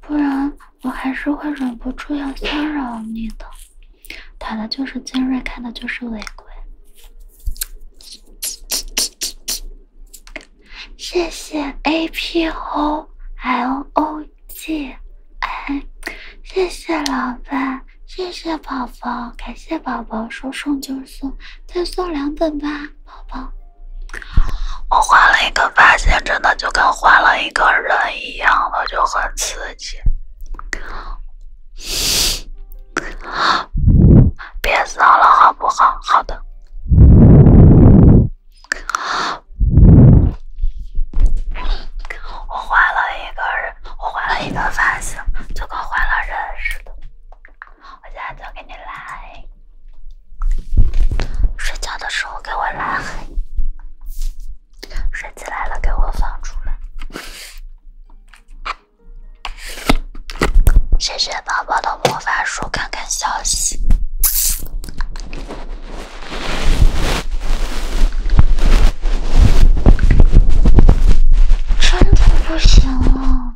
不然我还是会忍不住要骚扰你的。打的就是精锐，看的就是违规。谢谢 A P O L O G I。谢谢老板，谢谢宝宝，感谢宝宝说送就送，再送两本吧，宝宝。我换了一个发型，真的就跟换了一个人一样的，就很刺激。别闹了，好不好？好的。我换了一个人，我换了一个发型，就跟换了人似的。我现在就给你来。睡觉的时候给我拉黑，睡起来了给我放出来。谢谢宝宝的魔法书，看看消息。真的不行了。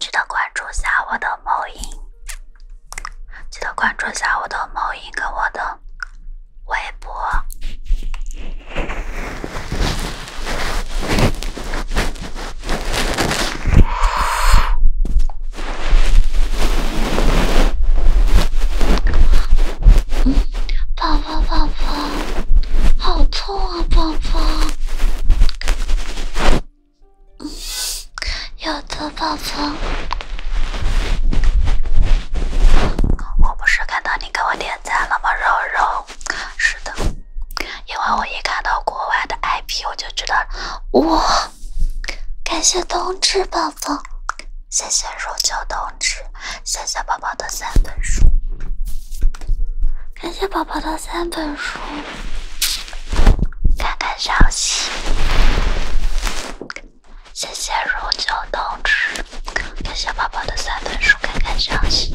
记得关注下我的某音，记得关注下我的某音跟我的。外婆，嗯，宝宝宝宝，好痛啊，宝宝。有的宝宝，我不是看到你给我点。在了吗？肉肉，是的，因为我一看到国外的 IP，我就知道，哇！感谢冬至宝宝，谢谢肉酒冬至，谢谢宝宝的三本书，感谢宝宝的三本书，看看消息，谢谢肉酒冬至。看小宝宝的三本书，看看消息。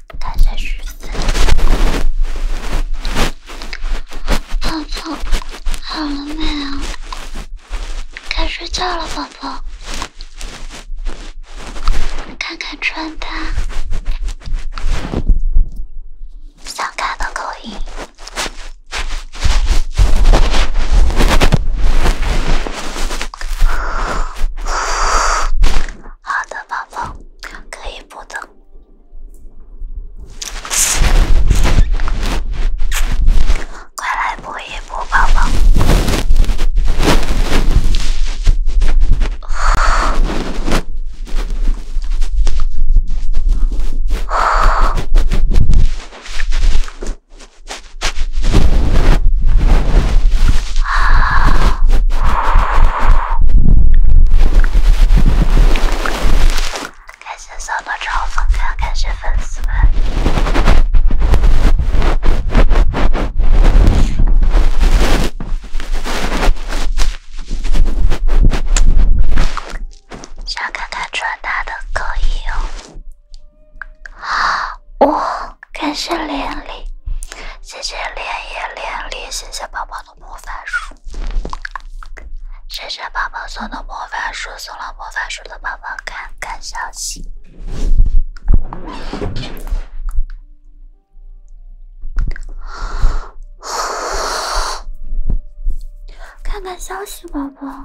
该睡了，宝宝，好了没有？该睡觉了，宝宝。看看穿搭，想看的口音。好的，宝宝，可以不的，快来播一播，宝宝。啊。啊。感谢小闹钟送感谢粉丝们。想看看穿搭的可以哦。哇，感谢连礼，谢谢连叶连礼，谢谢宝宝。魔法书，谢谢宝宝送的魔法书，送了魔法书的宝宝，看看消息，看看消息，宝宝。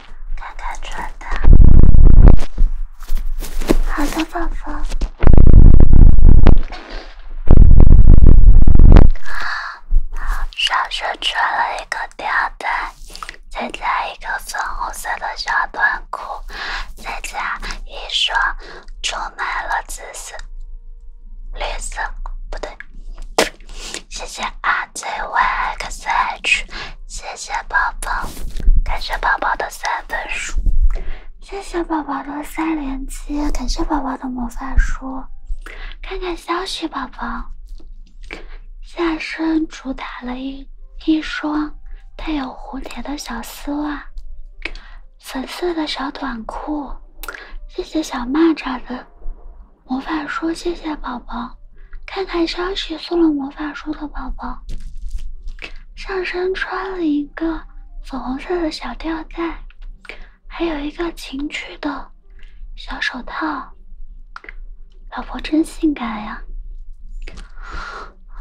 看看穿搭，好的宝宝。啊，上身穿了一个吊带，再加一个粉红色的小短裤，再加一双充满了紫色、绿色，不对，谢谢啊。Z y X H，谢谢宝宝，感谢宝宝的三分书，谢谢宝宝的三连击，感谢宝宝的魔法书，看看消息，宝宝。下身主打了一一双带有蝴蝶的小丝袜，粉色的小短裤，谢谢小蚂蚱的魔法书，谢谢宝宝。看看消息，送了魔法书的宝宝，上身穿了一个粉红色的小吊带，还有一个情趣的小手套，老婆真性感呀！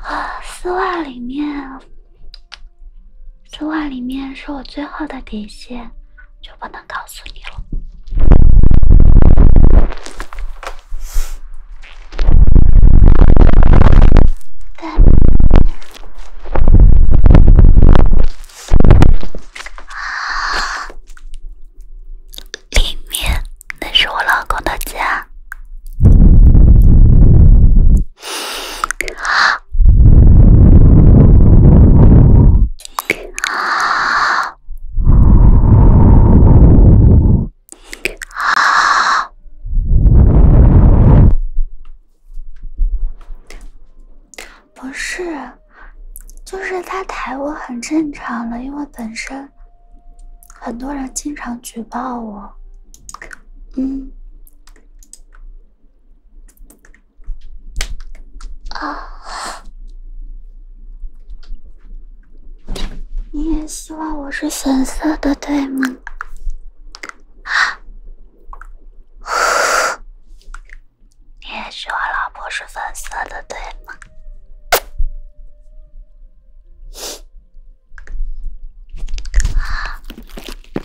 啊，丝袜里面，丝袜里面是我最后的底线，就不能告诉你了。里面那是我老公的家。不是，就是他抬我很正常的，因为本身很多人经常举报我。嗯，啊。你也希望我是粉色的，对吗？你也希望老婆是粉色的，对吗？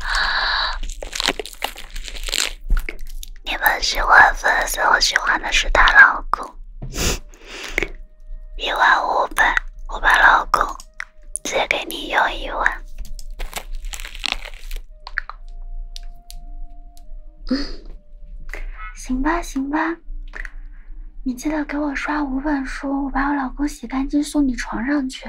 啊！你们喜欢粉丝，我喜欢的是她老公。一万五百，我把老公借给你用一万。行吧，行吧，你记得给我刷五本书，我把我老公洗干净送你床上去。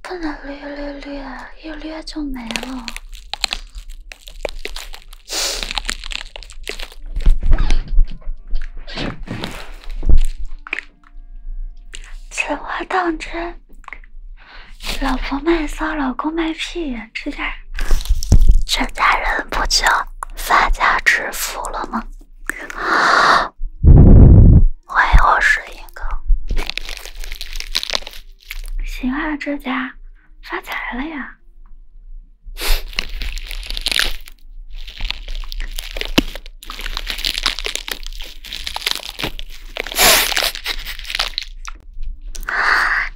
不能略略略，一略就没了。此话当真？老婆卖骚，老公卖屁，这下全家人不就发家致富了吗？欢 迎我十一。哥，行啊，这家发财了呀！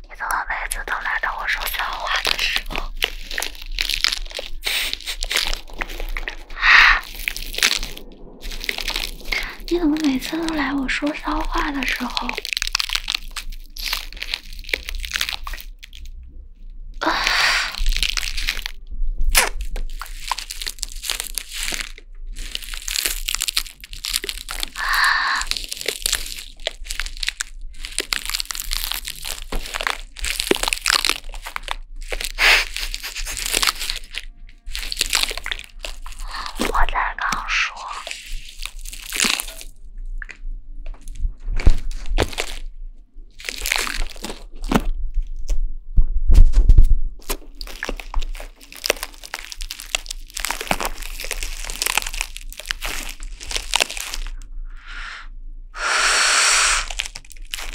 你怎么每次都来到我说这话的时候？你怎么每次都来？我说骚话的时候。我才刚说。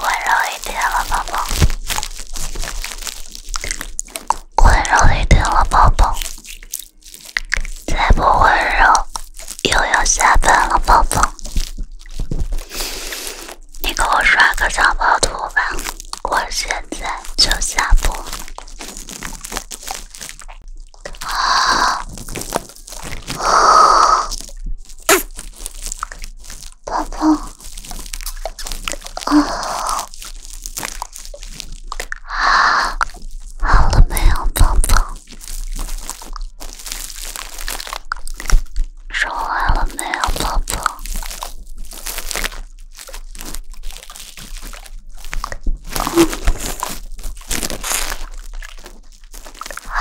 温柔一点了，宝宝。温柔一点了，宝宝。再不温柔，又要下班了，宝宝。你给我刷个藏宝图吧，我现在就下播。啊。宝宝，啊，好了没有，宝宝？做完了没有，宝宝？啊，啊。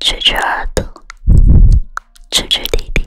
撅撅耳朵，撅撅弟弟。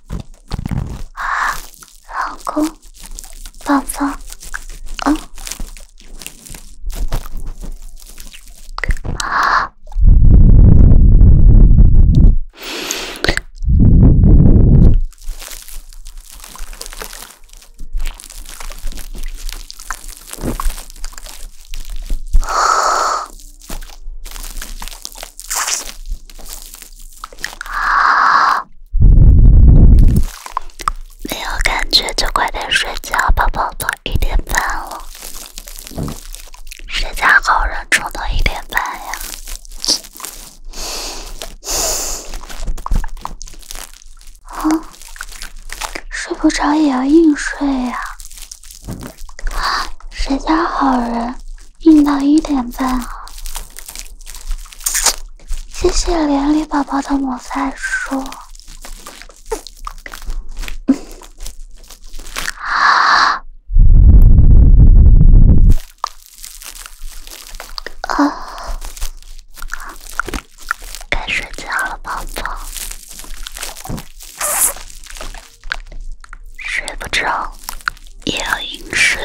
老公，宝宝，嗯。啊，没有感觉就快点睡觉，宝宝早一点半了。谁家好人，到一点半呀？啊，睡不着也要硬睡呀？啊，谁家好人？硬到一点半啊！谢谢连理宝宝的摩赛书。啊，该睡觉了，宝宝。睡不着，也要饮水。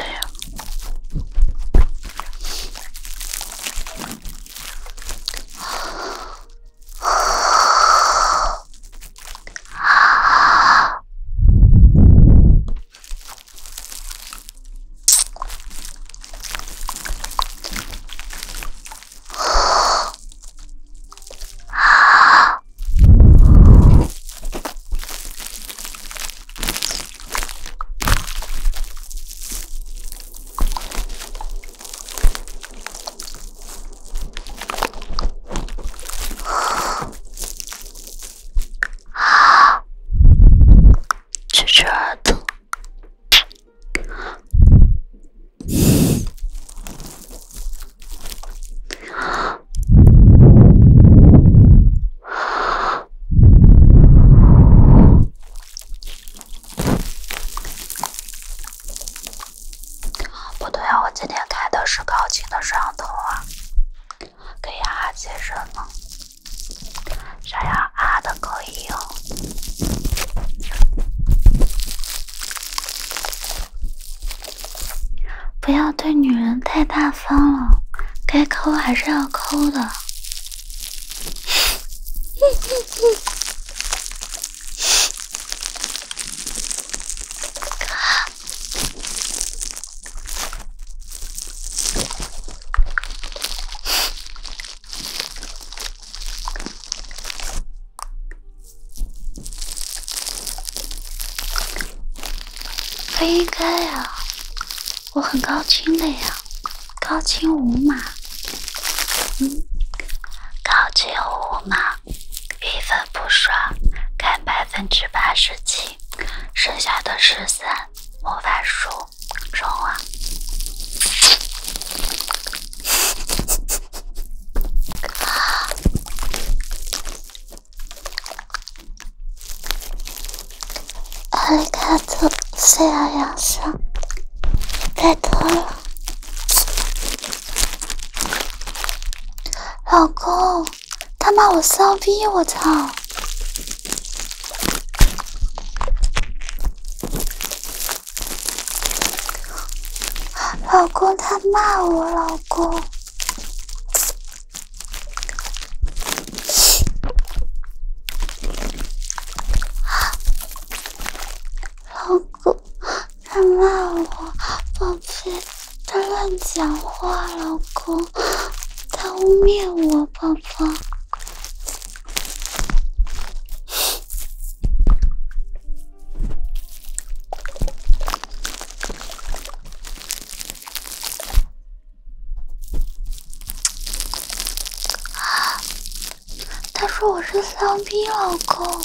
啊！吹吹耳朵。不对啊，我今天开的是高清的摄像头啊，可以啊，接声吗？想要啊的可以哦。不要对女人太大方了，该抠还是要抠的。不应该呀，我很高清的呀，高清五码，嗯，高清五码，一分不刷，看百分之八十七，剩下的十三，魔法书，冲啊！阿丽卡托，睡了两声，拜托了，老公，他骂我骚逼，我操！老公，他骂我，老公。老公，他骂我，宝贝，他乱讲话，老公，他污蔑我，宝宝。啊！他说我是丧逼老公。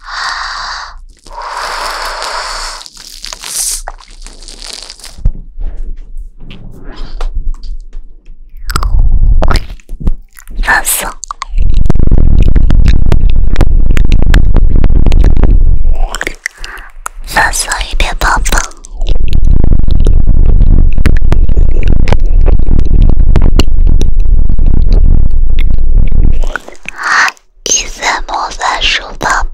啊！放松，放松一点，宝宝。你怎么在书房？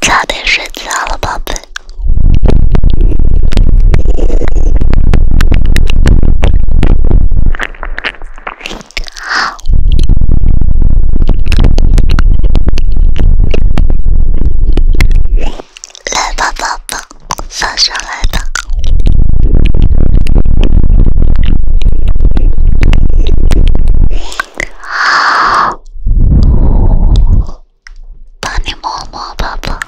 早点睡觉了，宝贝。好。来吧，宝宝，放上来吧。好，帮你摸摸，宝宝。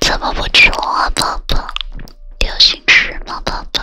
怎么不说话，宝宝？有心事吗，宝宝？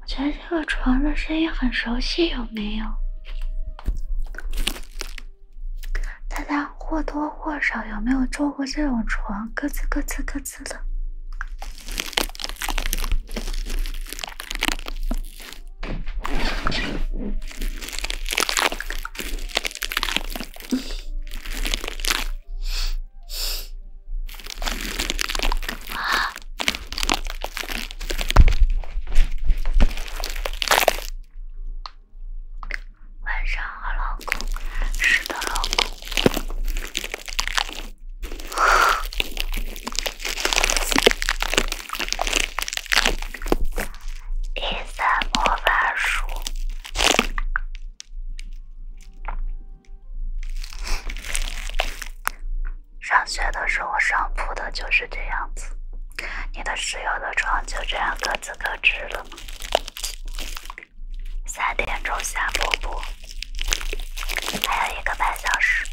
我觉得这个床的声音很熟悉，有没有？大家或多或少有没有坐过这种床？咯吱咯吱咯吱的。晚上好，老公。是的，老公。《一三魔法书》。上学的时候上铺的，就是这样子。你的室友的床就这样各自各置了吗？三点钟下铺不？还有一个半小时。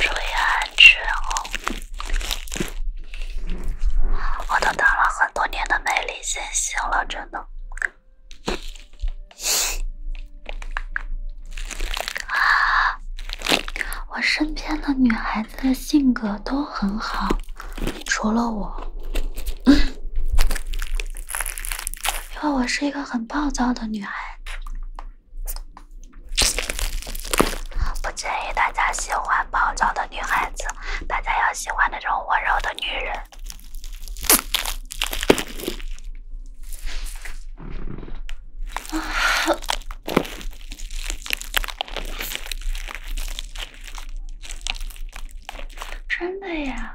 注意安全哦！我都当了很多年的美丽星星了，真的。啊，我身边的女孩。的性格都很好，除了我，因为我是一个很暴躁的女孩子。不建议大家喜欢暴躁的女孩子，大家要喜欢那种温柔的女人。真的呀？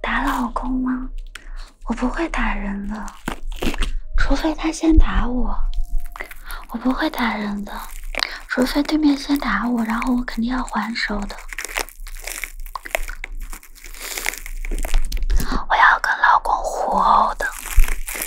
打老公吗？我不会打人的，除非他先打我。我不会打人的，除非对面先打我，然后我肯定要还手的。我要跟老公互殴的。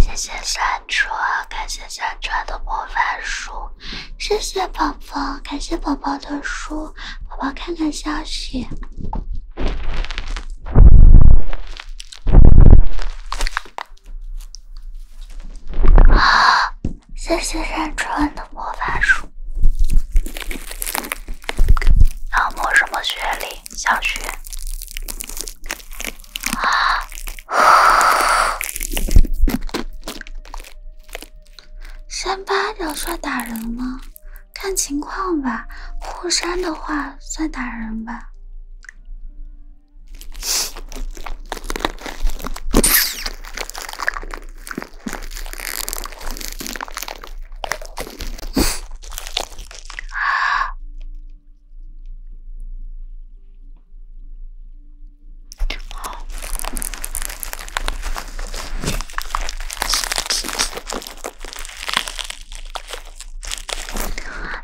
谢谢山川，感谢山川的魔法书。谢谢宝宝，感谢宝宝的书。宝宝看看消息。啊！谢谢山川的魔法书。要摸什么学历？小学。扇巴掌算打人吗？看情况吧。互扇的话算打人吧。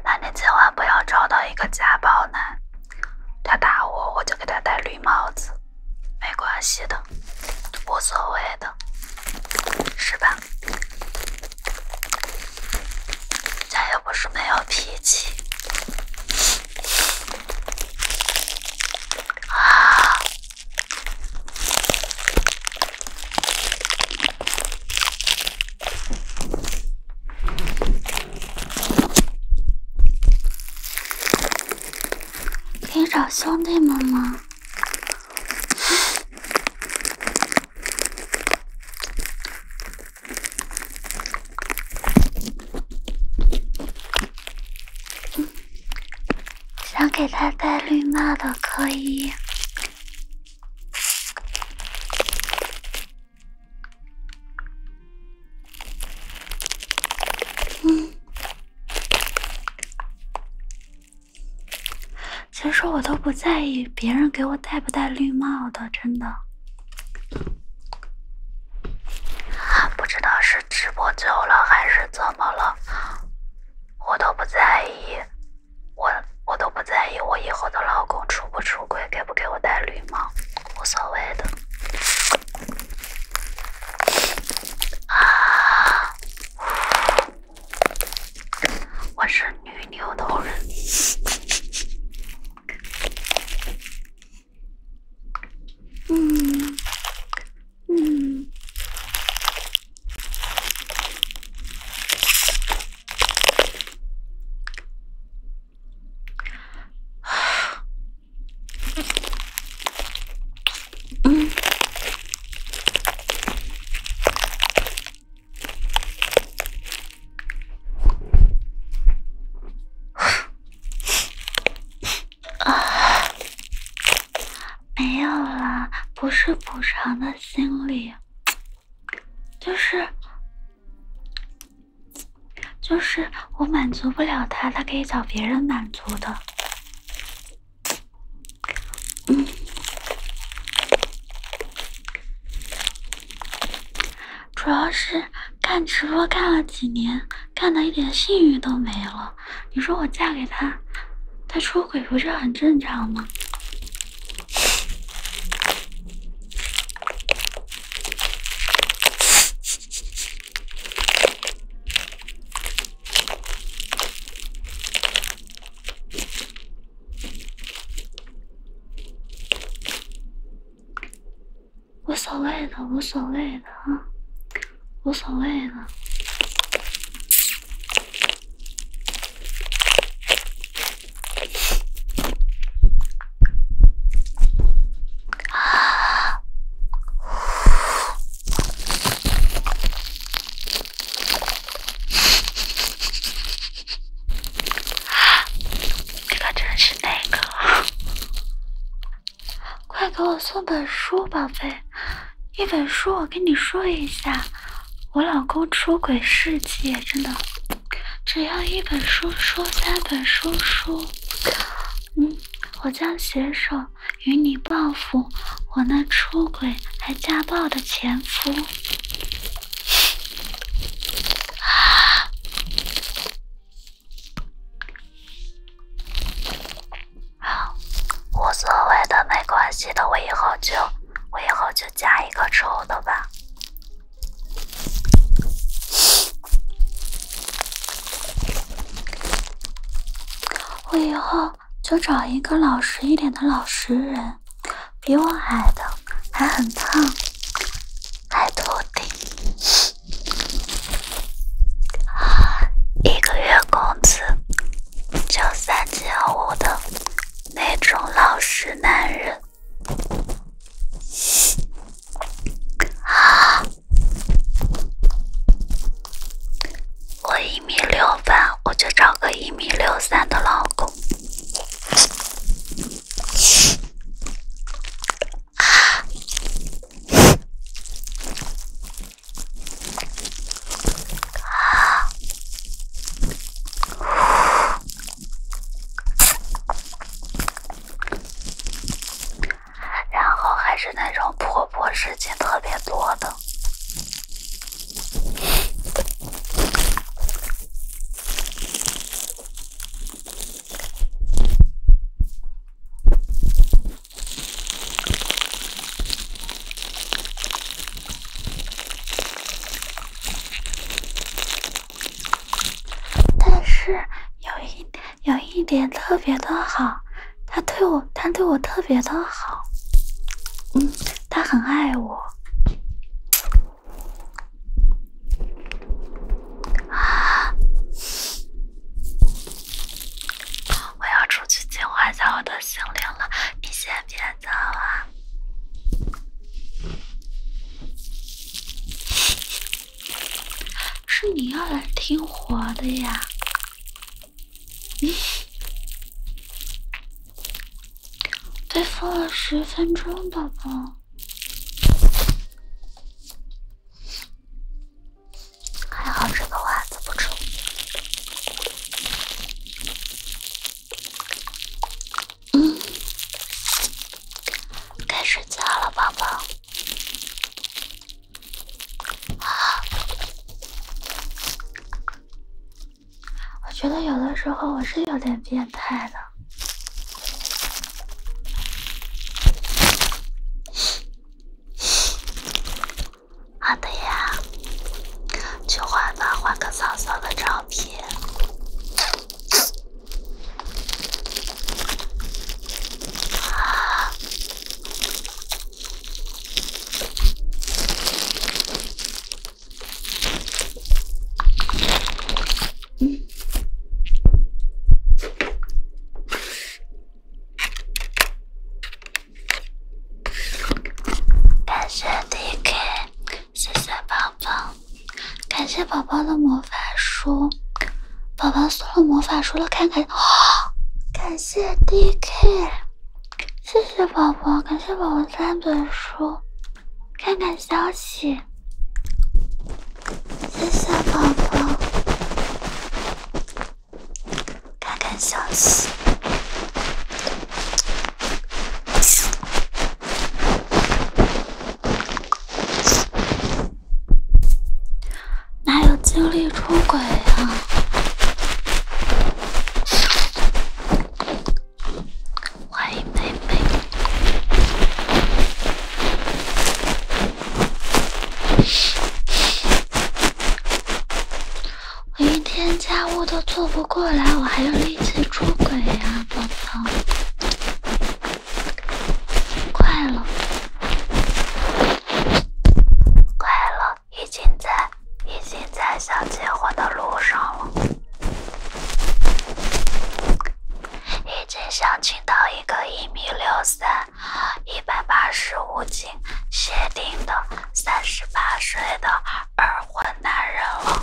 那你千万不要找到一个家暴男，他打我，我就给他戴绿帽子。没关系的，无所谓的，是吧？咱又不是没有脾气可以找兄弟们吗？想给他戴绿帽的可以。其实我都不在意别人给我戴不戴绿帽的，真的。不知道是直播久了还是怎么了，我都不在意。我我都不在意我以后的老公出不出轨，给不给我戴绿帽，无所谓的。我是女牛头人。嗯嗯。啊，没有啦，不是补偿的心理，就是就是我满足不了他，他可以找别人满足的。主要是干直播干了几年，干的一点信誉都没了。你说我嫁给他，他出轨不是很正常吗？无所谓的，无所谓的啊，无所谓的。啊！你可真是那个！快给我送本书，宝贝。一本书，我跟你说一下，我老公出轨事迹，真的。只要一本书，书三本书，书。嗯，我将携手。与你报复我那出轨还家暴的前夫，啊，好，无所谓的，没关系的，我以后就我以后就加一个臭的吧，我以后。就找一个老实一点的老实人，比我矮的，还很胖，还秃顶，一个月工资就三千五的那种老实男人，啊。我一米六八，我就找个一米六三的老公。然后还是那种婆婆事情特别多的，但是有一有一点特别的好。他对我，他对我特别的好，嗯，他很爱我。啊！我要出去净化一下我的心灵了，你先别走啊！是你要来听活的呀？被封了十分钟，宝宝。还好这个袜子不臭。嗯，该睡觉了，宝宝。我觉得有的时候我是有点变态的。好的呀，去换吧，换个嫂嫂的照片。啊。感谢 DK，谢谢宝宝，感谢宝宝的魔法书，宝宝送了魔法书了，看看。感谢 DK。谢谢宝宝，感谢宝宝三本书，看看消息。谢谢宝宝，看看消息。哪有精力出轨啊？欢迎妹妹。我一天家务都做不过来，我还有力气出轨呀，宝宝？快了，快了。已经在已经在向结婚的路上了，已经想请到一个一米六三、一百八十五斤、鞋定的三十八岁的二婚男人了。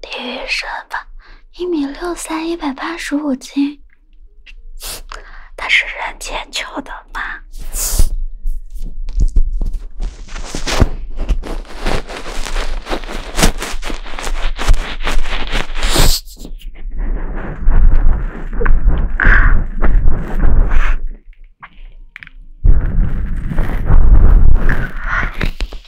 体育生吧，一米六三，一百八十五斤。他 是人间秋的妈。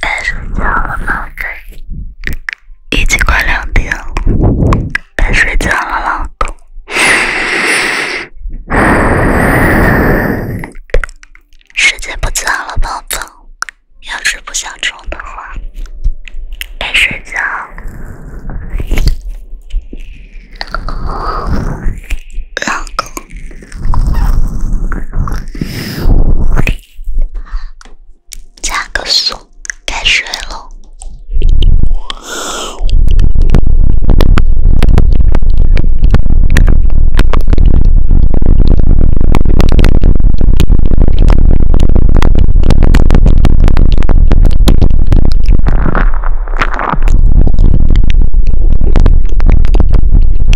该睡觉了，宝贝。已经快两点了，该睡觉了，老公。时间不早了，宝宝。要是不想冲的话，该睡觉了。老公，加个速，该睡了。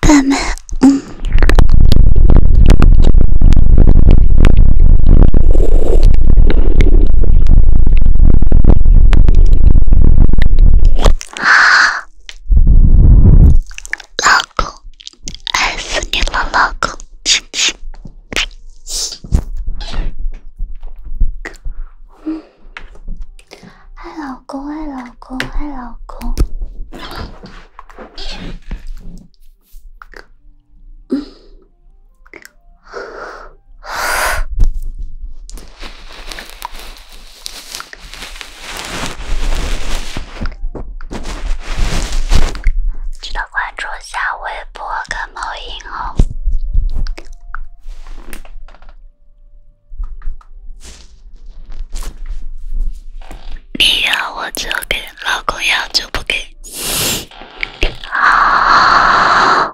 爸妈，嗯。老公，爱死你了，老公，亲亲。嗯。爱老公，爱老公，爱老公。嗯。记得关注一下微博跟某音哦。你要我就给，老公要就不给。啊！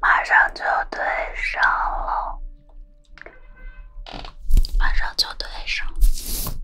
马上就对上了，马上就对上了。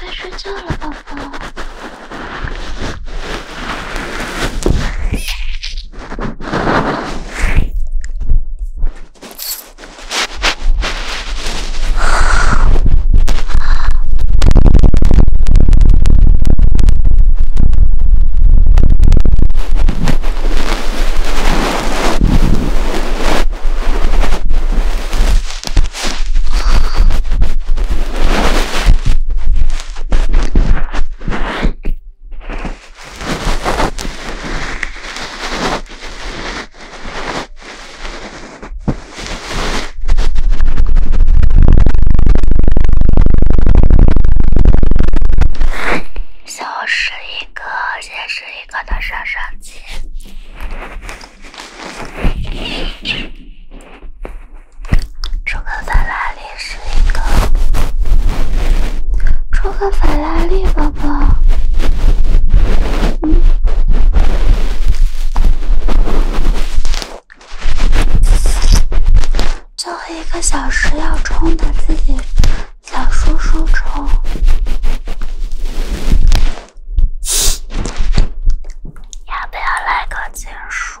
该睡觉了，宝宝。就是一个，也是一个的上杀气。出个法拉利是一个，出个法拉利宝宝，嗯，最后一个小时要充的自己小叔叔充。要不要来个金属？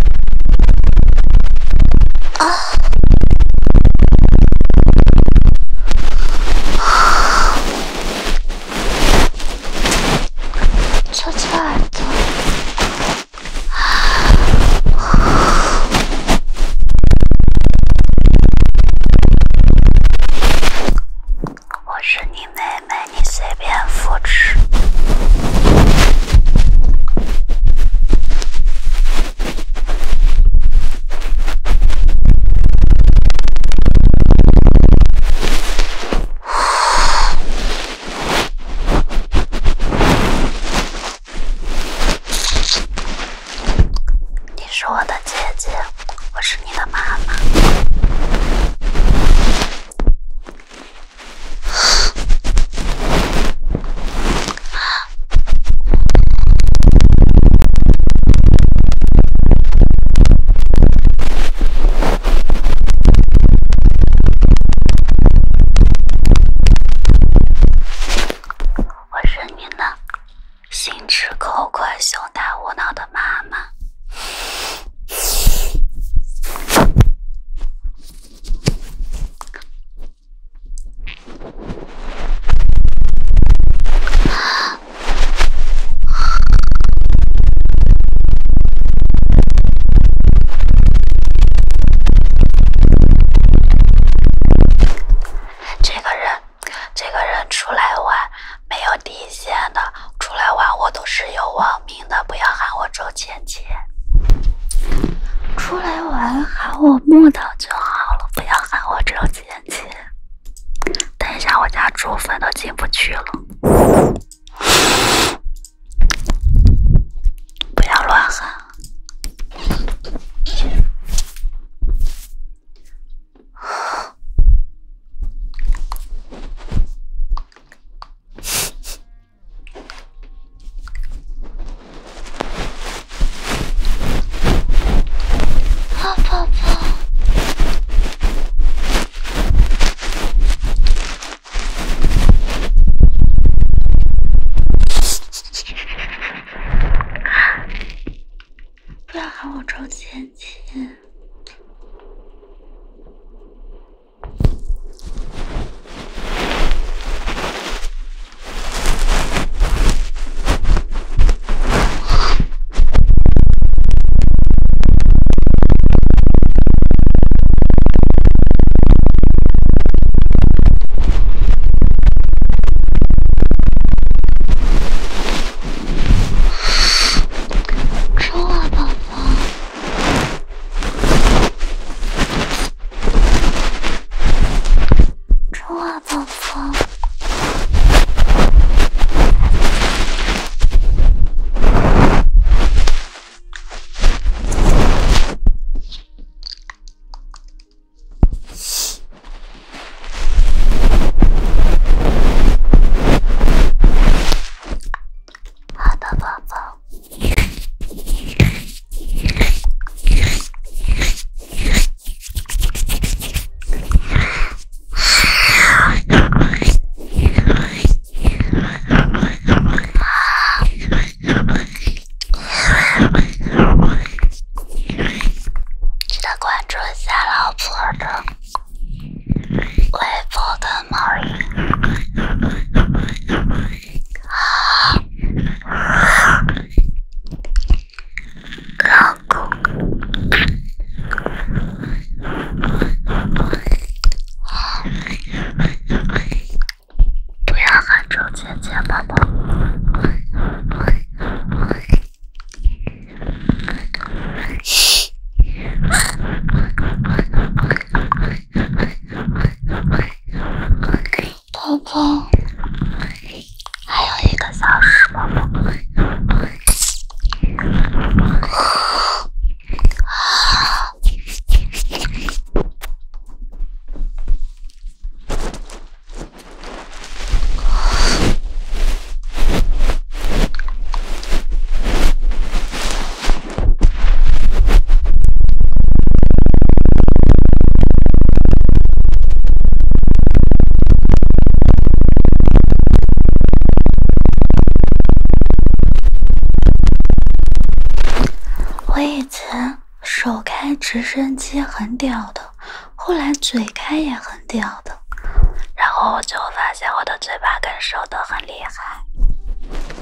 啊！悄悄耳朵。我是你妹妹。你随便复制。你是我的姐姐，我是你的妈妈。我是你呢，心直口快、胸大无脑的妈妈。这个人，这个人出来玩没有底线的，出来玩我都是有网名。不要喊我周芊芊，出来玩喊我木头就好了，不要喊我周芊芊。等一下，我家猪粪都进不去了，不要乱喊。啊，宝宝，不要喊我周芊芊。舒服，宝宝。中啊，宝宝。好的，宝宝。记得关注一下老婆的微博的猫影。老公，不要喊出姐姐，宝宝。宝宝，还有一个小时，宝宝。我以前手开直升机很屌的，后来嘴开也很屌的，然后我就发现我的嘴巴跟手都很厉害。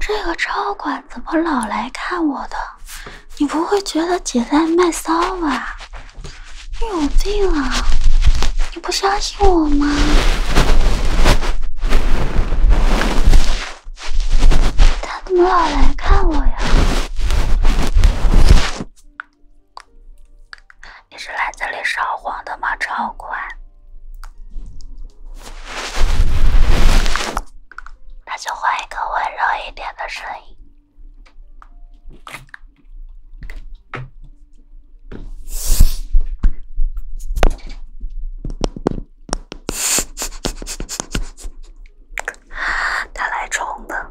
这个超管怎么老来看我的？你不会觉得姐在卖骚吧？你有病啊！你不相信我吗？他怎么老来看我呀？你是来这里撒谎的吗？超管，那就换一个温柔一点的声音。他来冲的。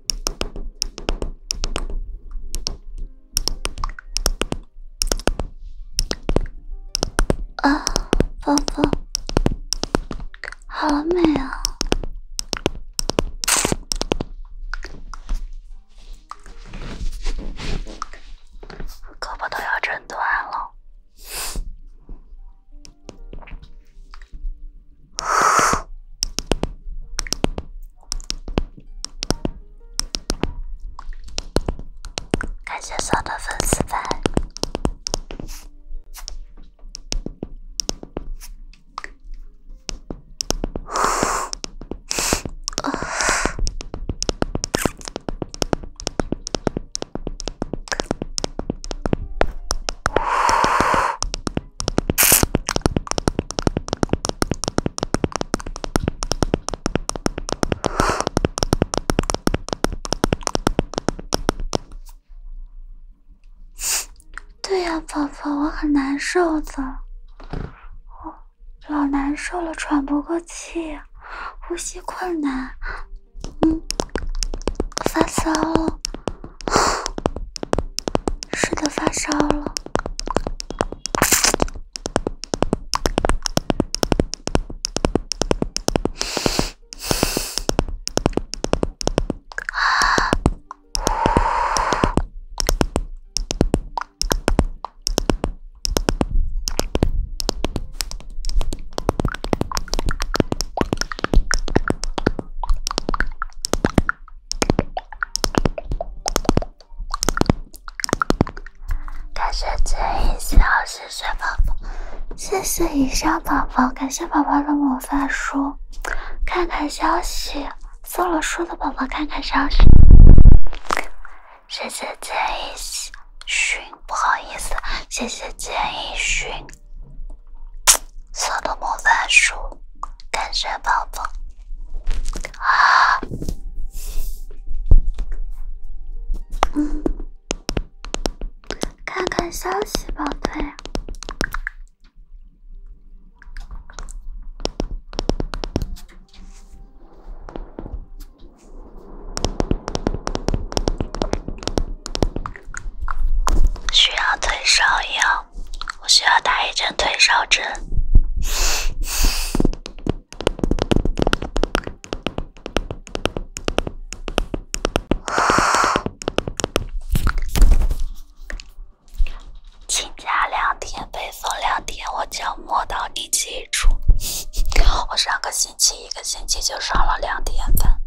啊，宝宝，好美啊！胳膊都要震断了。感谢所有的粉丝粉。对呀，宝宝，我很难受的，我老难受了，喘不过气，呼吸困难，嗯，发烧。是的，发烧了。感谢建议小，谢谢宝宝，谢谢以上宝宝，感谢宝宝的魔法书，看看消息，送了书的宝宝看看消息，谢谢建议寻，不好意思，谢谢建议寻。色的魔法书，感谢宝宝。啊，嗯，看看消息，宝贝，需要退烧药。我需要打一针退烧针。请假两天，被封两天，我就摸到你。记住，我上个星期一个星期就上了两天班。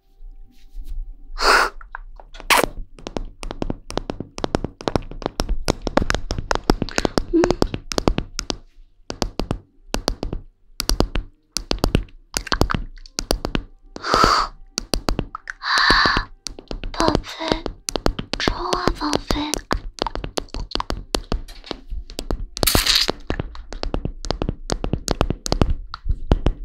嗯。啊，宝飞，冲啊，宝飞！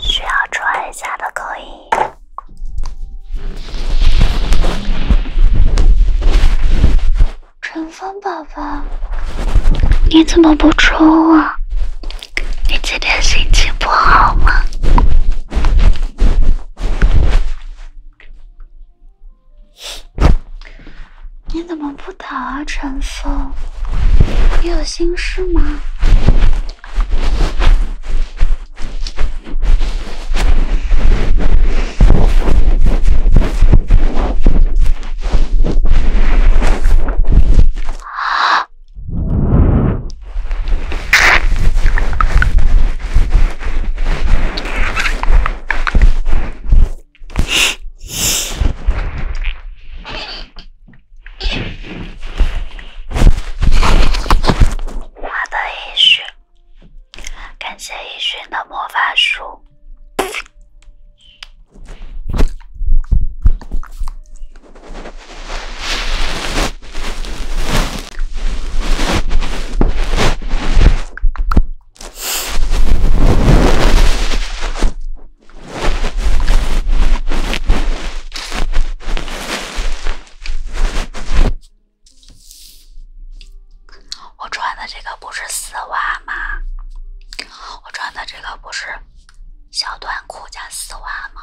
需要戳一下的可以。陈峰宝宝，你怎么不抽啊？你今天心情不好吗？你怎么不打啊，陈峰？你有心事吗？我的依熏，感谢一熏的魔法书。我穿的这个不是丝袜吗？我穿的这个不是。小短裤加丝袜吗？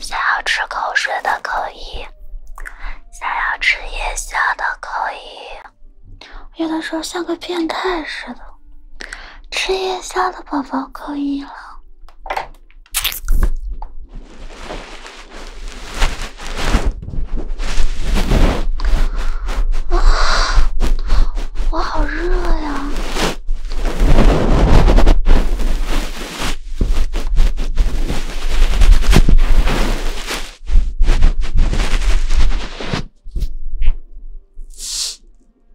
想要吃口水的扣一，想要吃夜宵的扣一。有的时候像个变态似的，吃夜宵的宝宝扣一了。我好热呀！这的衣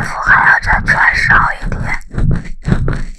服还要再穿少一点。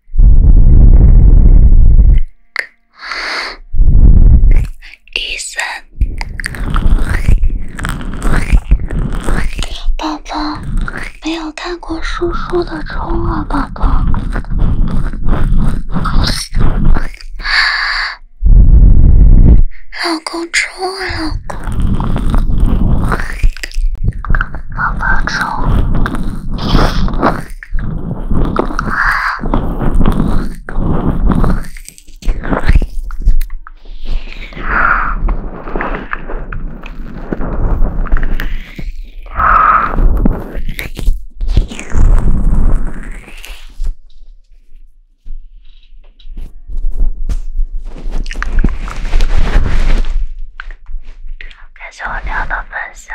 医生，宝宝没有看过叔叔的冲啊，宝宝。老公冲啊，老公，宝宝冲。感谢我娘的分享。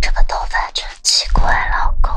这个头发真奇怪，老公。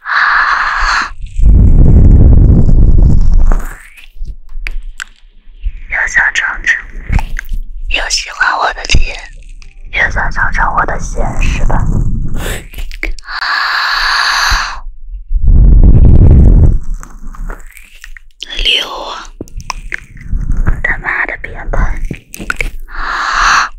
啊！又想尝尝，又喜欢我的又想尝尝我的是吧？啊！六，他妈的别啊！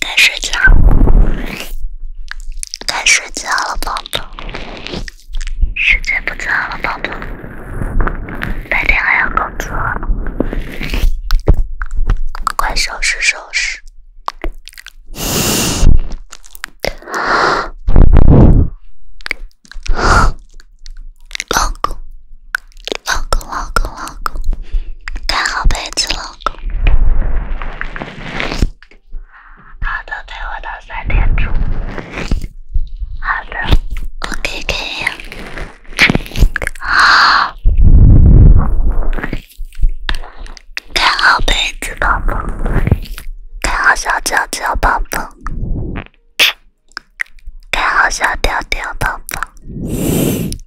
该睡觉，了，该睡觉了，宝宝。时间不早了，宝宝。白天还要工作，快收拾收拾。老公，老公，老公，老公，盖好被子了。好的，我到三点钟。好的，OKK。好，盖好被子，宝宝。盖好小脚脚，宝宝。盖好小宝宝。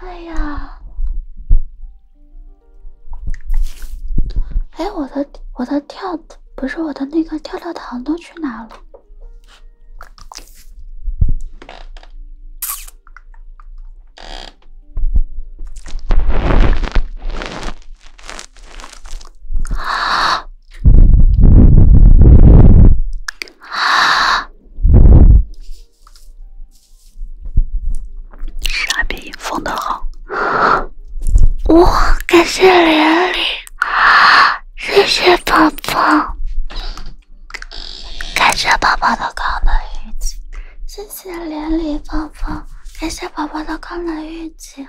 哎呀！哎，我的我的跳不是我的那个跳跳糖都去哪了？啊！啊！傻逼，封得好！哇，感谢连理，谢谢宝宝，感谢宝宝的高能预警，谢谢连理宝宝，感谢宝宝的高能预警。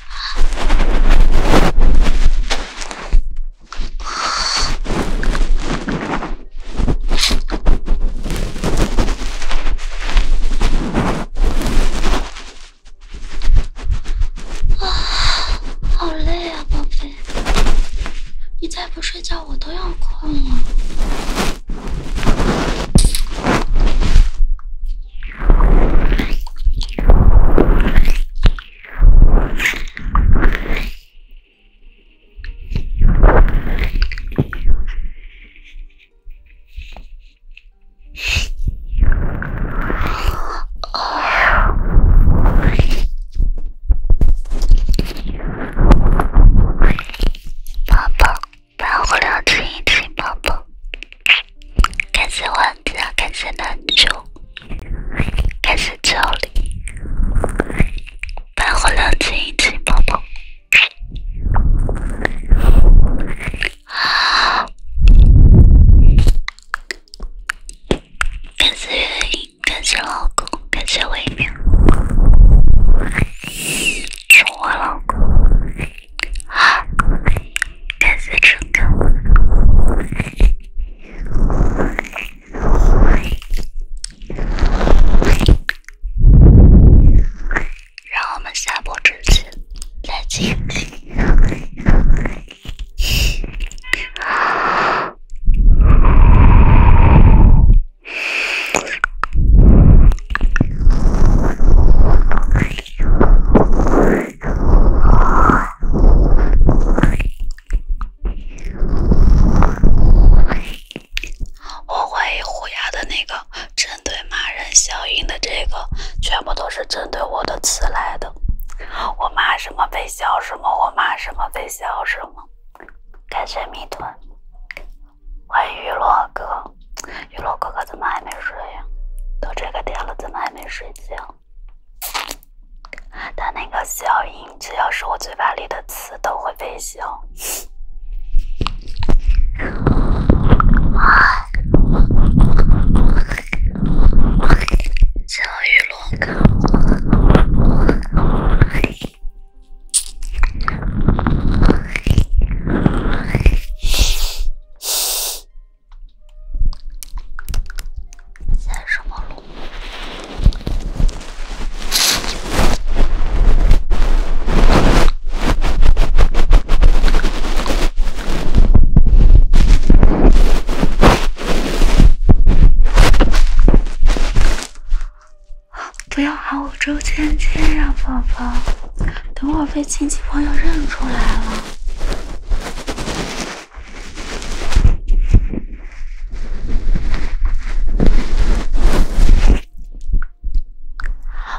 啊，好累啊，宝贝，你再不睡觉，我都要困了。宝宝，把我抱一点，宝宝。感谢王子，感谢南主，感谢助理，发火亮静，一起抱抱。感谢原因，感谢老公，感谢微淼，是我老公。感谢收看，让我们下播之前再继我怀疑虎牙的那个，针对骂人效应的这个，全部都是针对我的词来的。我骂什么被笑什么，我骂什么被笑什么。感谢蜜团，欢迎娱乐哥。娱乐哥哥怎么还没睡呀？都这个点了，怎么还没睡觉？他那个效应，只要是我嘴巴里的词都会被笑。在什么路？不要喊我周芊芊啊，宝宝，等会儿被亲戚朋友认出来了。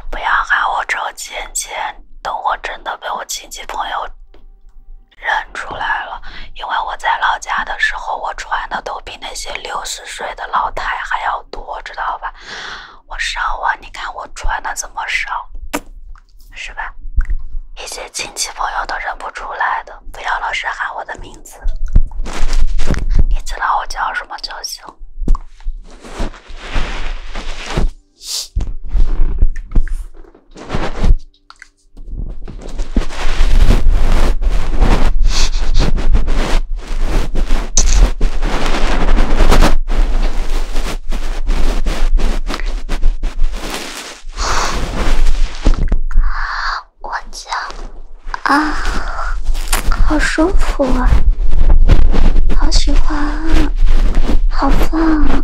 不要喊我周芊芊，等我真的被我亲戚朋友认出来了，因为我在老家的时候我穿的都比那些六十岁的老太还要多，知道吧？我上网，你看我穿的这么少？是吧？一些亲戚朋友都认不出来的，不要老是喊我的名字。你知道我叫什么就行。我家啊，好舒服啊，好喜欢啊，好棒！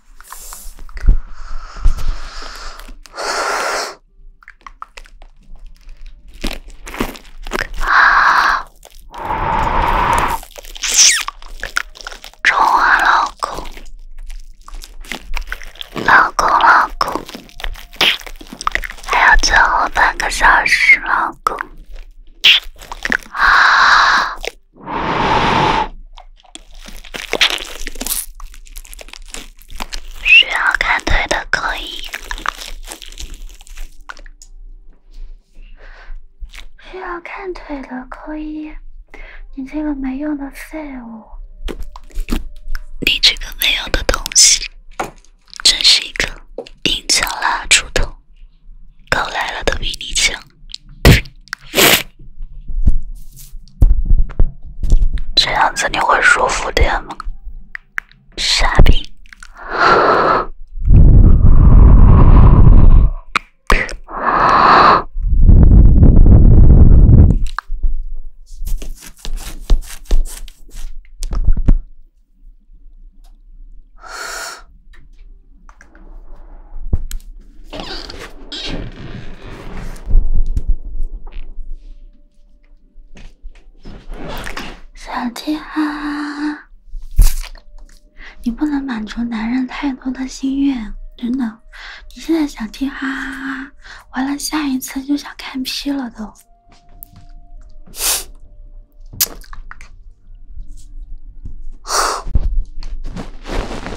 啊！中啊，老公，老公，老公，还有最后半个小时，老公。啊！需要看腿的扣一，需要看腿的扣一。你这个没用的废物，你这个没用的东西，真是一个硬枪蜡烛头，刚来了都比你强。这样子你会舒服点吗？傻逼！想听哈哈你不能满足男人太多的心愿，真的。你现在想听哈哈哈，完了下一次就想看 P 了都。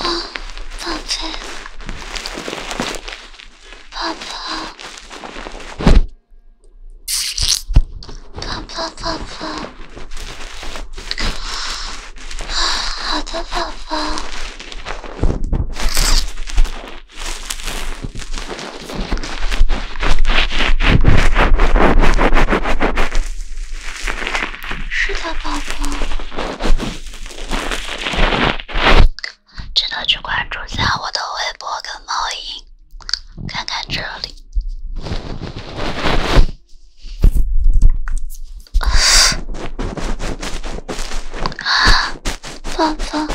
啊，宝贝，爸爸，爸爸，爸好的，宝宝。是的，宝宝。记得去关注下我的微博跟猫影，看看这里。啊，宝宝。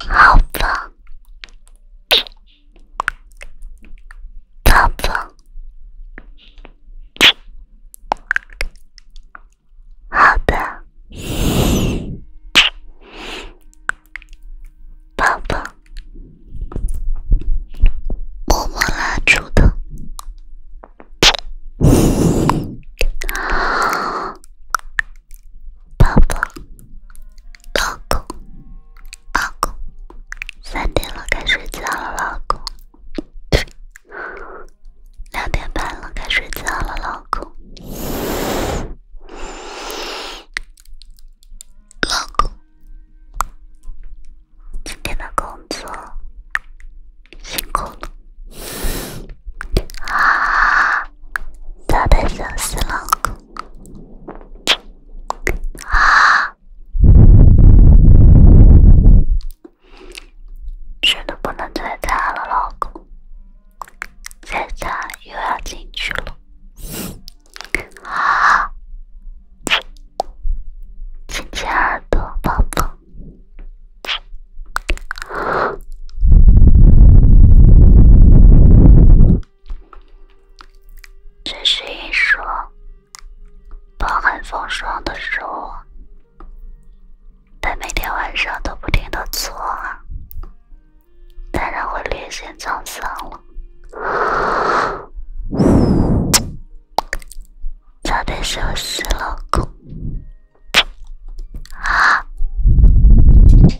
好吧，宝宝，好的，宝宝，默默拉住的，宝宝。老公，老公，三点了，该睡觉了，老公。两点半了，该睡觉了，老公。老公，今天的工作辛苦了，啊，早点休息，老公。啊！真的不能再擦了，老公，再擦又要进去了。啊！亲亲耳朵，宝宝。这是一双饱含风霜的手，但每天晚上都不停的搓，当然会略显沧桑了。早点休息，老公啊！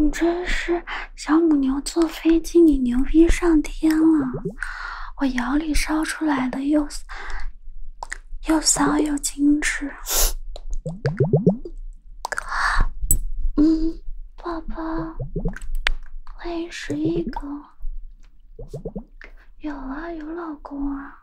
你真是小母牛坐飞机？你牛逼上天了！我窑里烧出来的又又骚又精致。哥，嗯，宝宝，欢迎十一哥，有啊，有老公啊。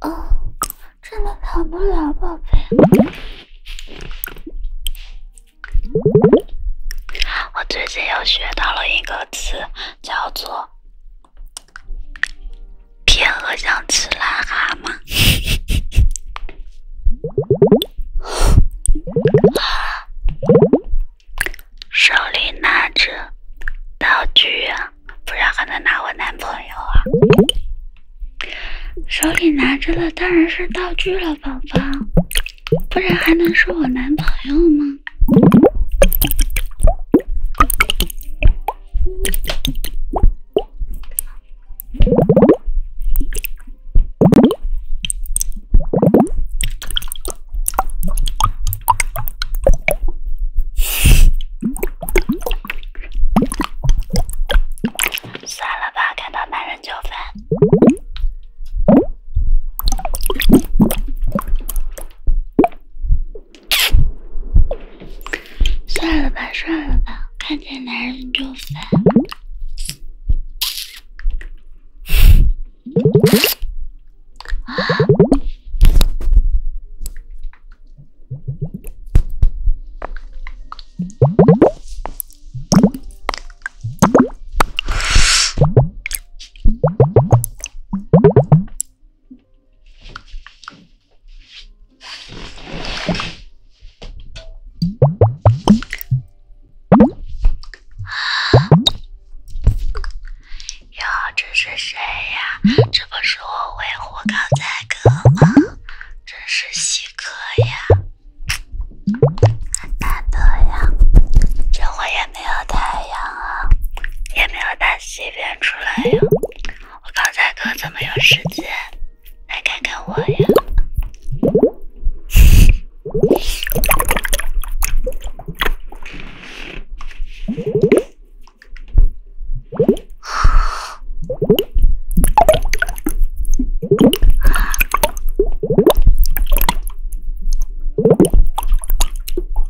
哦，真的逃不了，宝贝。我最近又学到了一个词。叫做天鹅想吃癞蛤蟆，手里拿着道具啊，不然还能拿我男朋友啊？手里拿着的当然是道具了，宝宝，不然还能是我男朋友吗？算了吧，看到男人就烦。算了吧，算了吧，看见男人就烦。啊！哟，这是谁呀？这不是我维护刚才哥吗？是稀客呀！难得呀，这会也。没有太阳啊，也没有大西边出来呀。我刚才哥怎么有时间来看看我呀？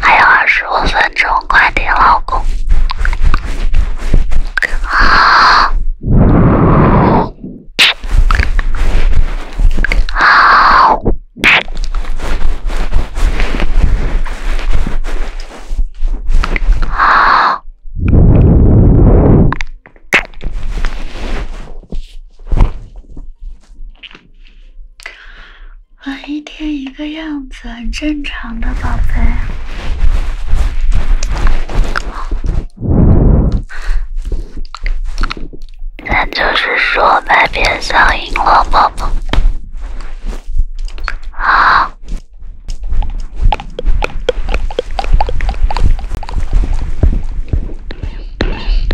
还有二十五分钟，快点，老公！我一天一个样子，很正常的，宝贝。咱就是说买片上瘾了，宝宝。啊！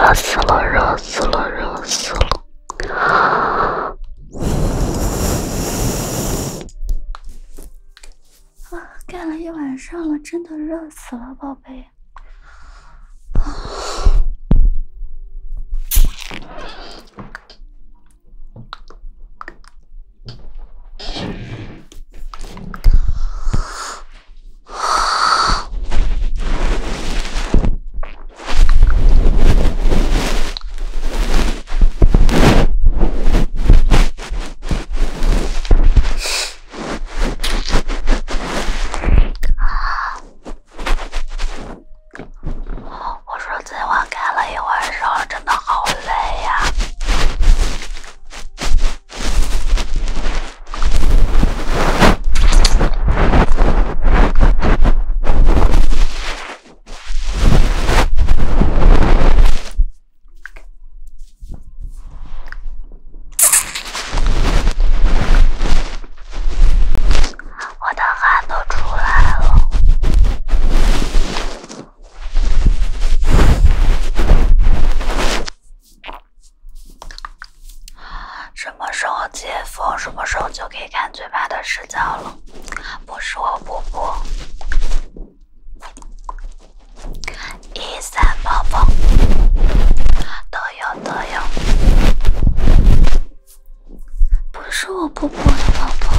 热死了，热死了，热死了。啊，干了一晚上了，真的热死了，宝贝。啊！我说这话干了一晚上，真的好累呀。我的汗都出来了。什么时候解封，什么时候就可以看嘴巴的视角了？不是我婆婆。一三宝宝，都有都有，不是我不播的宝宝。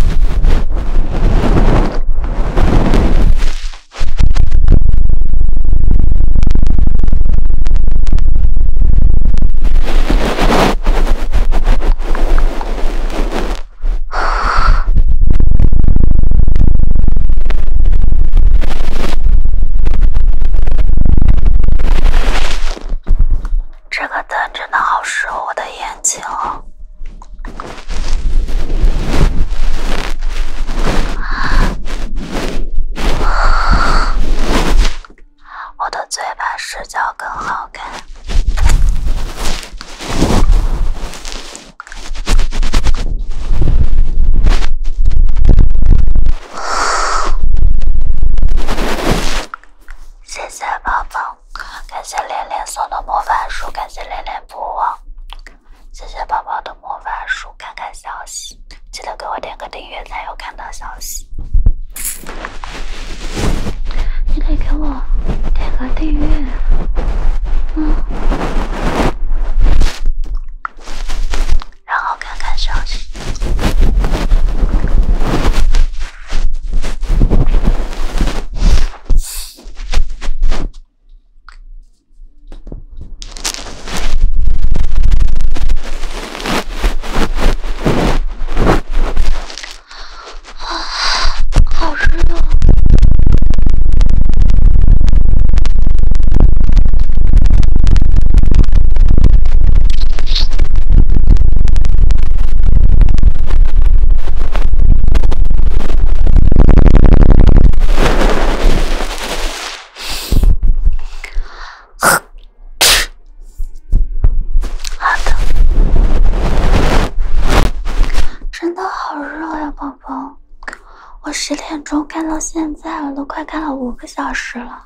这个灯真的好适合我的眼睛哦。我的嘴巴视角更好看。谢谢宝宝，感谢连连送的魔法书，感谢连连不忘。谢谢宝宝的魔法书，看看消息，记得给我点个订阅，才有看到消息。你可以给我点个订阅，嗯，然后看看消息。啊，好热。呵，咳。好的，真的好热呀，宝宝。我十点钟干到现在，了，都快干了五个小时了。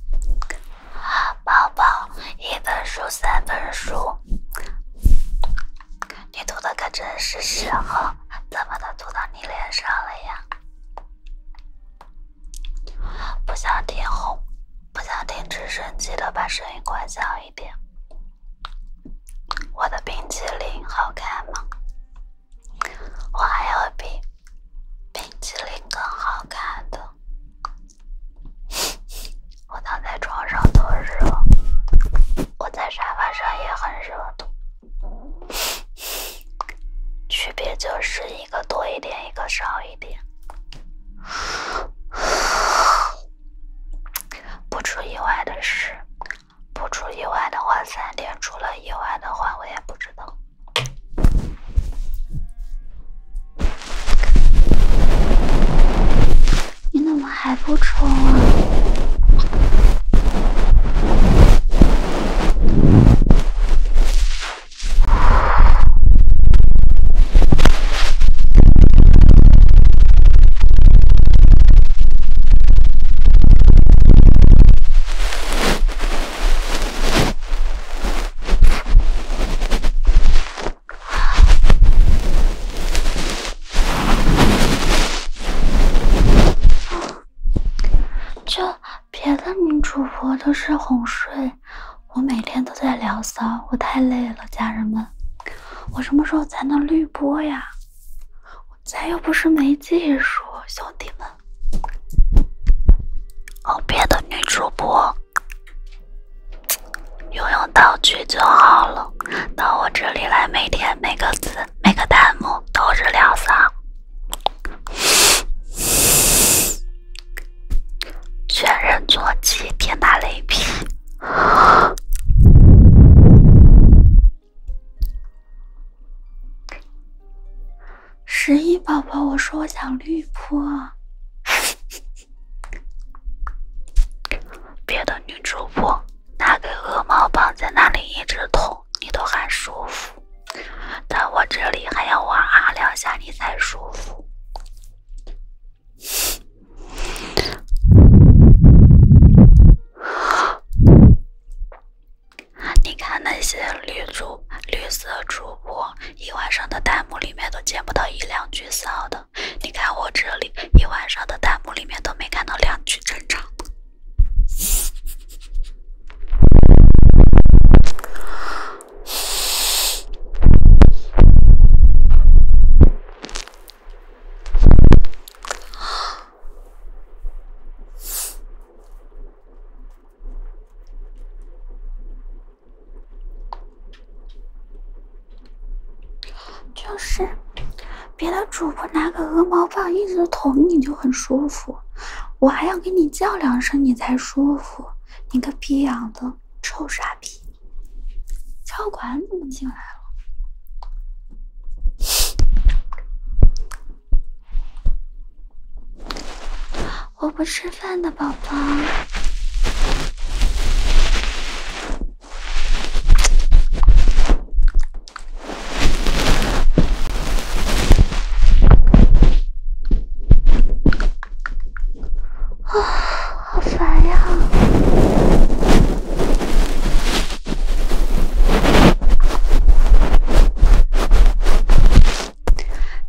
宝宝，一本书三本书，你涂的可真是时候，怎么都涂到你脸上了呀？不想听哄，不想听直升机的，把声音关小一点。我的冰激凌好看吗？我还有比冰淇淋更好看的。我躺在床上都热，我在沙发上也很热的。区别就是一个多一点，一个少一点。不出意外的是，不出意外的话，三天出了意外的话，我也不知道。你怎么还不冲啊？就别的女主播都是哄睡，我每天都在聊骚，我太累了，家人们。我什么时候才能绿播呀？咱又不是没技术，兄弟们。哦，别的女主播用用道具就好了，到我这里来，每天每个字、每个弹幕都是两嗓，全人坐骑，天打雷劈。十一宝宝，我说我想绿扑。别的女主播拿个鹅毛棒在那里一直捅，你都还舒服，但我这里还要我啊两下你才舒服。你看那些绿主、绿色主播，一晚上的弹幕里面都见不到一两句骚的。你看我这里，一晚上的弹幕里面都没看到两句正常的。就是，别的主播拿个鹅毛棒一直捅你就很舒服，我还要给你叫两声你才舒服，你个逼养的臭傻逼！超管怎么进来了？我不吃饭的宝宝，啊，好烦呀！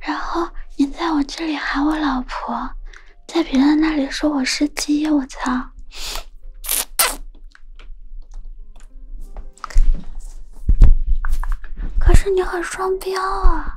然后你在我这里喊我老婆，在别人那里说我是鸡，我操！可是你很双标啊。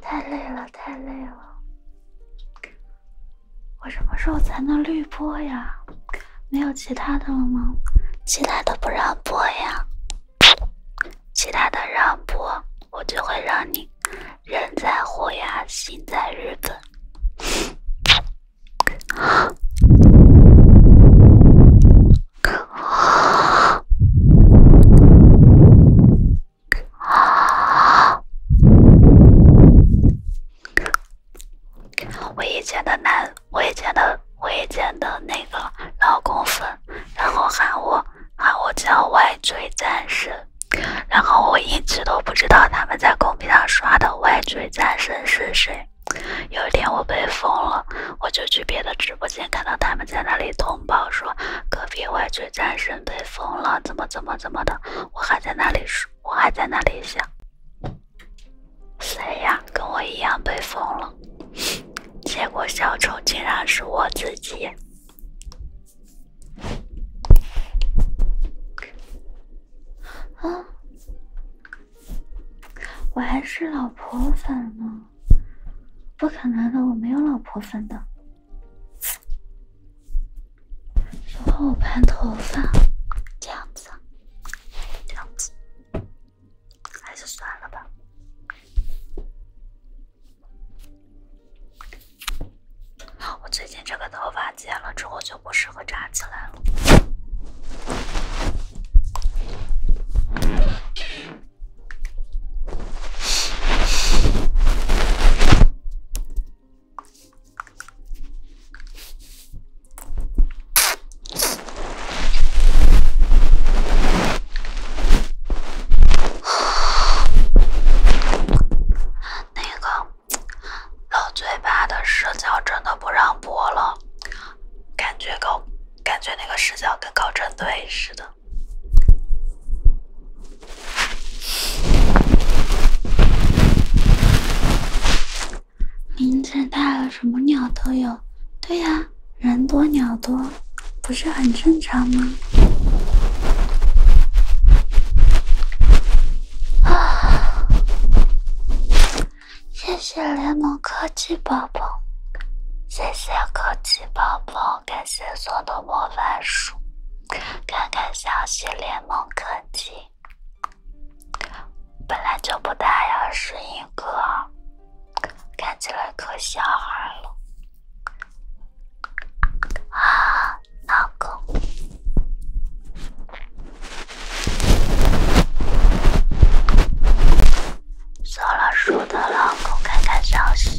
太累了，太累了。我什么时候才能绿播呀？没有其他的了吗？其他的不让播呀。其他的让播，我就会让你人在虎牙，心在日本。我以前的男，我以前的，我以前的那个老公粉，然后喊我喊我叫外追战神，然后我一直都不知道他们在公屏上刷的外追战神是谁。有一天我被封了，我就去别的直播间，看到他们在那里通报说隔壁外追。战神被封了，怎么怎么怎么的？我还在那里说，我还在那里想，谁呀？跟我一样被封了。结果小丑竟然是我自己。啊！我还是老婆粉吗？不可能的，我没有老婆粉的。然后我盘头发，这样子，这样子，还是算了吧。我最近这个头发剪了之后就不适合扎起来了。那个老嘴巴的视角真的不让播了，感觉搞感觉那个视角跟搞针对似的。林子大了，什么鸟都有。对呀，人多鸟多，不是很正常吗？啊！谢谢联盟科技宝宝，谢谢科技宝宝，感谢送的魔法书。看看消息，联盟科技本来就不大要是一个，看起来可小孩了啊！老公，扫了树的老公，看看消息。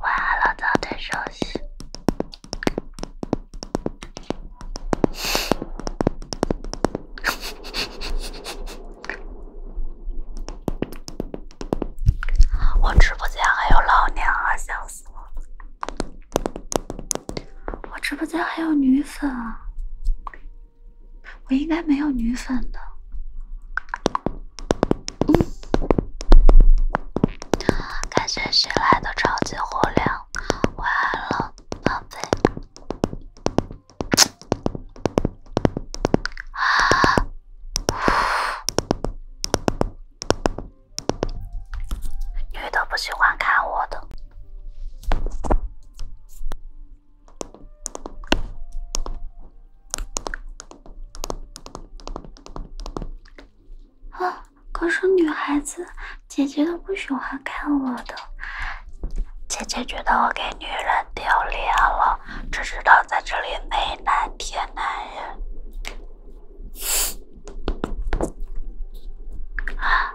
晚安了，早点休息。我直播间还有老娘啊，笑死我了！我直播间还有女粉啊。我应该没有女粉的。嗯，感谢新来的超级火量，晚安了，宝贝。啊！女的不喜欢看我的。啊！可是女孩子姐姐都不喜欢看我的，姐姐觉得我给女人丢脸了，只知道在这里美男贴男人。啊！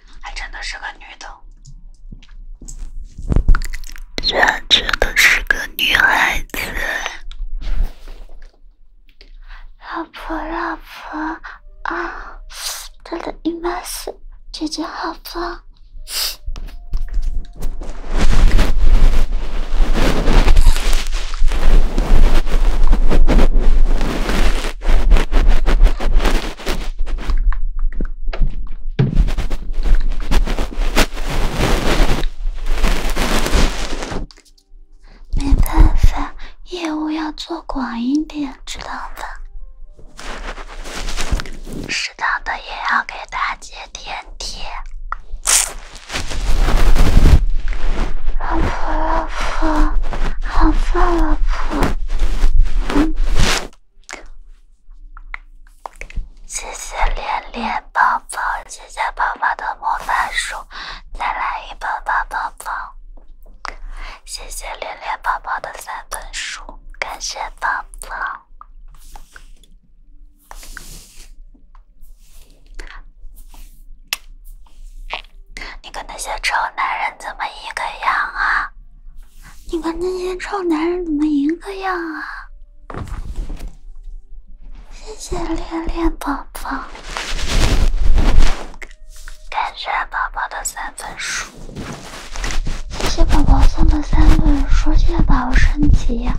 还真的是个女的，居然真的是个女孩子，老婆老婆啊，她的密码是，姐姐好棒。没办法，业务要做广一点，知道吧？适当的也要给大姐点贴。老婆，老婆。好棒，老婆！谢谢连连宝宝，谢谢宝宝的魔法书，再来一本宝宝宝。谢谢连连宝宝的三本书，感谢宝宝。你跟那些臭男人怎么一个样啊？你看那些臭男人怎么一个样啊？谢谢恋恋宝宝，感谢宝宝的三本书，谢谢宝宝送的三本书，谢谢宝宝升级。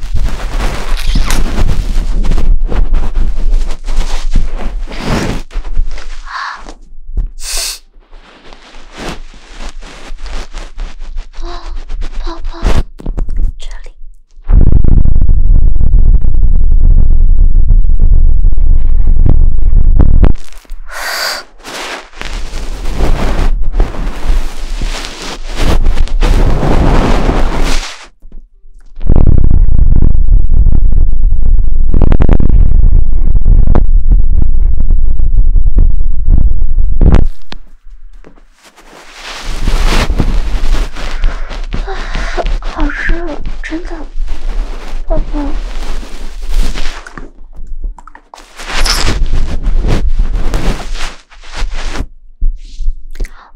宝，宝宝，这里。好热，真的，宝宝。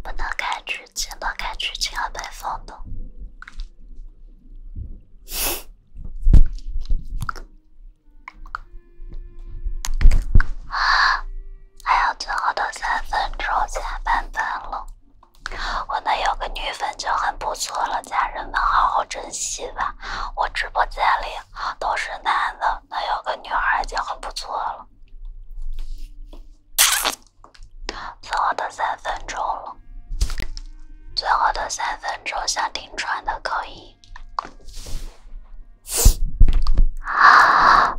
不能开剧情，不开剧情，还没送的。啊！还有最后的三分钟，下班班了。我能有个女粉就很不错了，家人们好好珍惜吧。我直播间里都是男的，能有个女孩就很不错了。最后的三分钟了。最后的三分钟，想听川的口音。啊！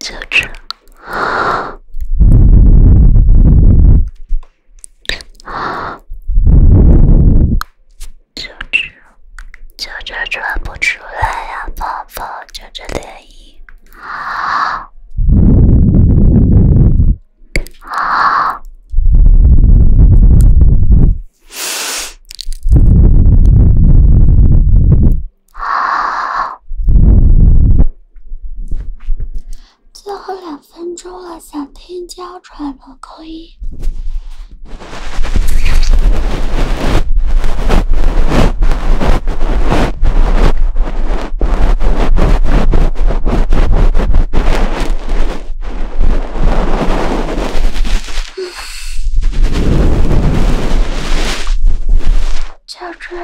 就这。啊！就这，就这穿不出来呀，宝宝，就这连衣。啊！啊！最后两分钟了，想听娇喘的。可以。乔治，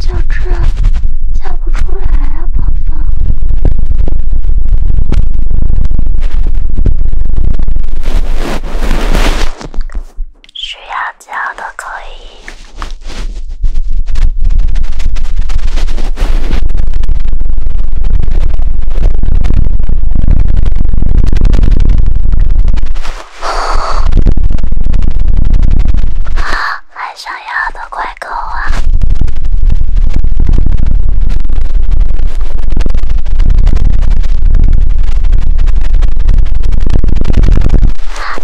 乔治叫不出来啊，宝宝。需要教的可以。想要的怪狗啊！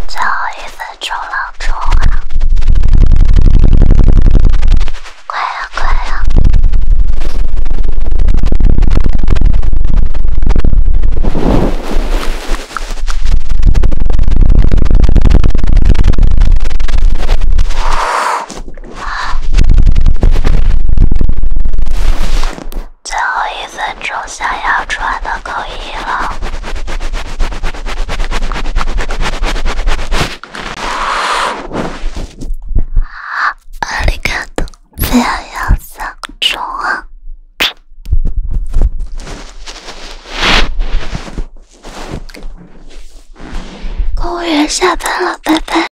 最后一分钟了，出完了，快呀快呀！好，最后一分钟想要穿的扣一了。啊！公务员下班了，拜拜。